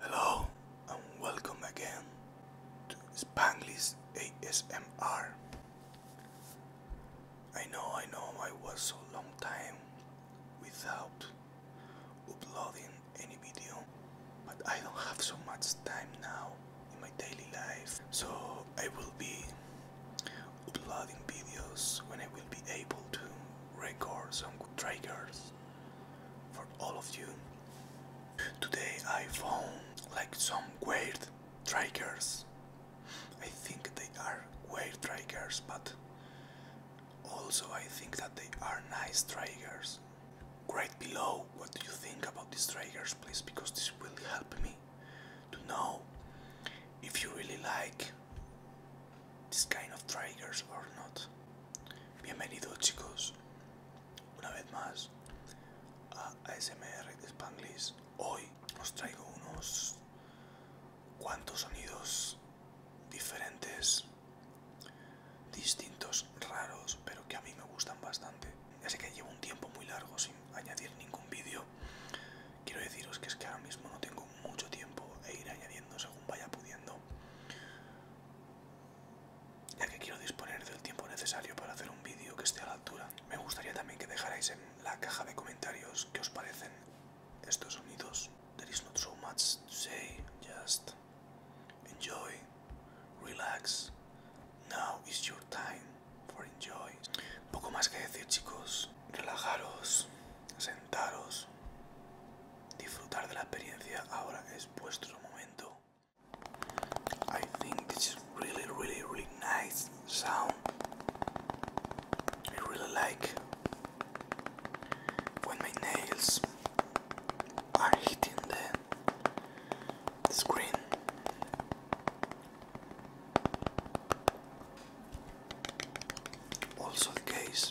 Hello and welcome again to Spanglish ASMR. I know, I know, I was so long time without uploading any video, but I don't have so much time now in my daily life. So I will be uploading videos when I will be able to record some triggers for all of you. Today I found like some weird triggers. I think they are weird triggers, but also I think that they are nice triggers. Write below what do you think about these triggers, please, because this will help me to know if you really like this kind of triggers or not. Bienvenidos, chicos, una vez más a ASMR de Spanglish. Hoy os traigo unos cuantos sonidos diferentes distintos raros pero que a mí me gustan bastante ya sé que llevo un tiempo muy largo sin añadir ningún vídeo. Quiero deciros que es que ahora mismo no tengo mucho tiempo e ir añadiendo según vaya pudiendo. Ya que quiero disponer del tiempo necesario para hacer un vídeo que esté a la altura. Me gustaría también que dejarais en la caja de comentarios qué os parecen estos sonidos. There is not so much say, just... Enjoy, relax. Now is your time for enjoy. Poco más que decir, chicos. Relajaros, sentaros, disfrutar de la experiencia. Ahora es vuestro momento. I think this is really, really, really nice sound. I really like when my nails are hitting them. the screen. Also the case.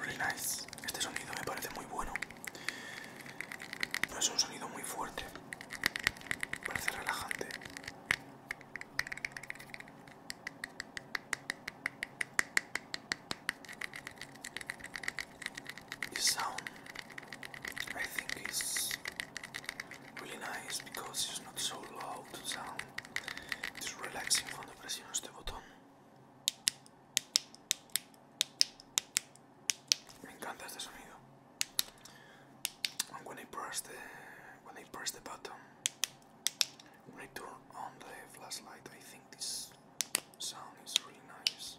Really nice. Este sonido me parece muy bueno. No es un sonido muy fuerte. Parece relajante. sound really nice because it's not so loud sound. It's relaxing cuando presiono este botón. Me encanta este sonido. And when I press the when I press the button, when I turn on the flashlight, I think this sound is really nice.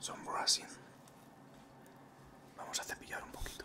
Son Vamos a cepillar un poquito.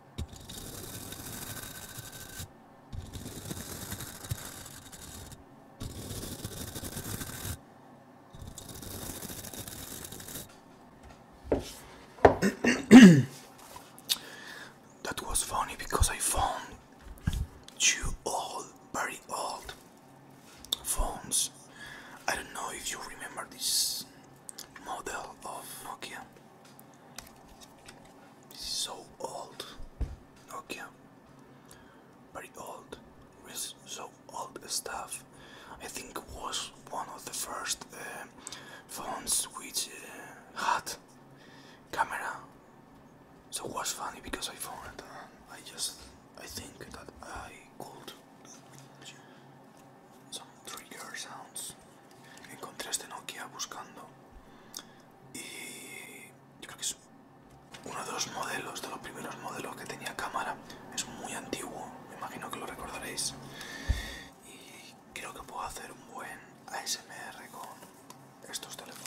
that was funny because I found two old, very old phones. I don't know if you remember this model of Nokia. So old. Nokia. Very old. With so old stuff. I think it was one of the first uh, phones which uh, had camera. So it was funny because I found it I just I think that I could uh, some car sounds. encontré este Nokia buscando y yo creo que es uno de los modelos, de los primeros modelos que tenía cámara. Es muy antiguo, me imagino que lo recordaréis. Y creo que puedo hacer un buen ASMR con estos teléfonos.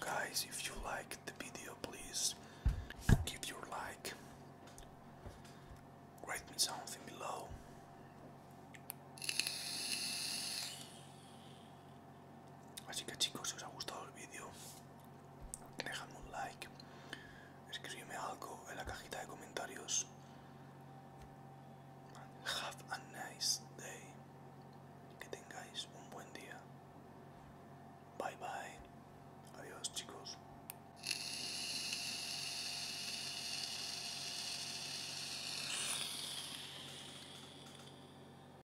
Guys, if you liked the video, please give your like. Write me something below. Así que chicos, si os ha gustado el vídeo, dejadme un like, escribidme algo en la cajita de comentarios. Have a nice day. Que tengáis un buen día. Bye bye. Adiós chicos.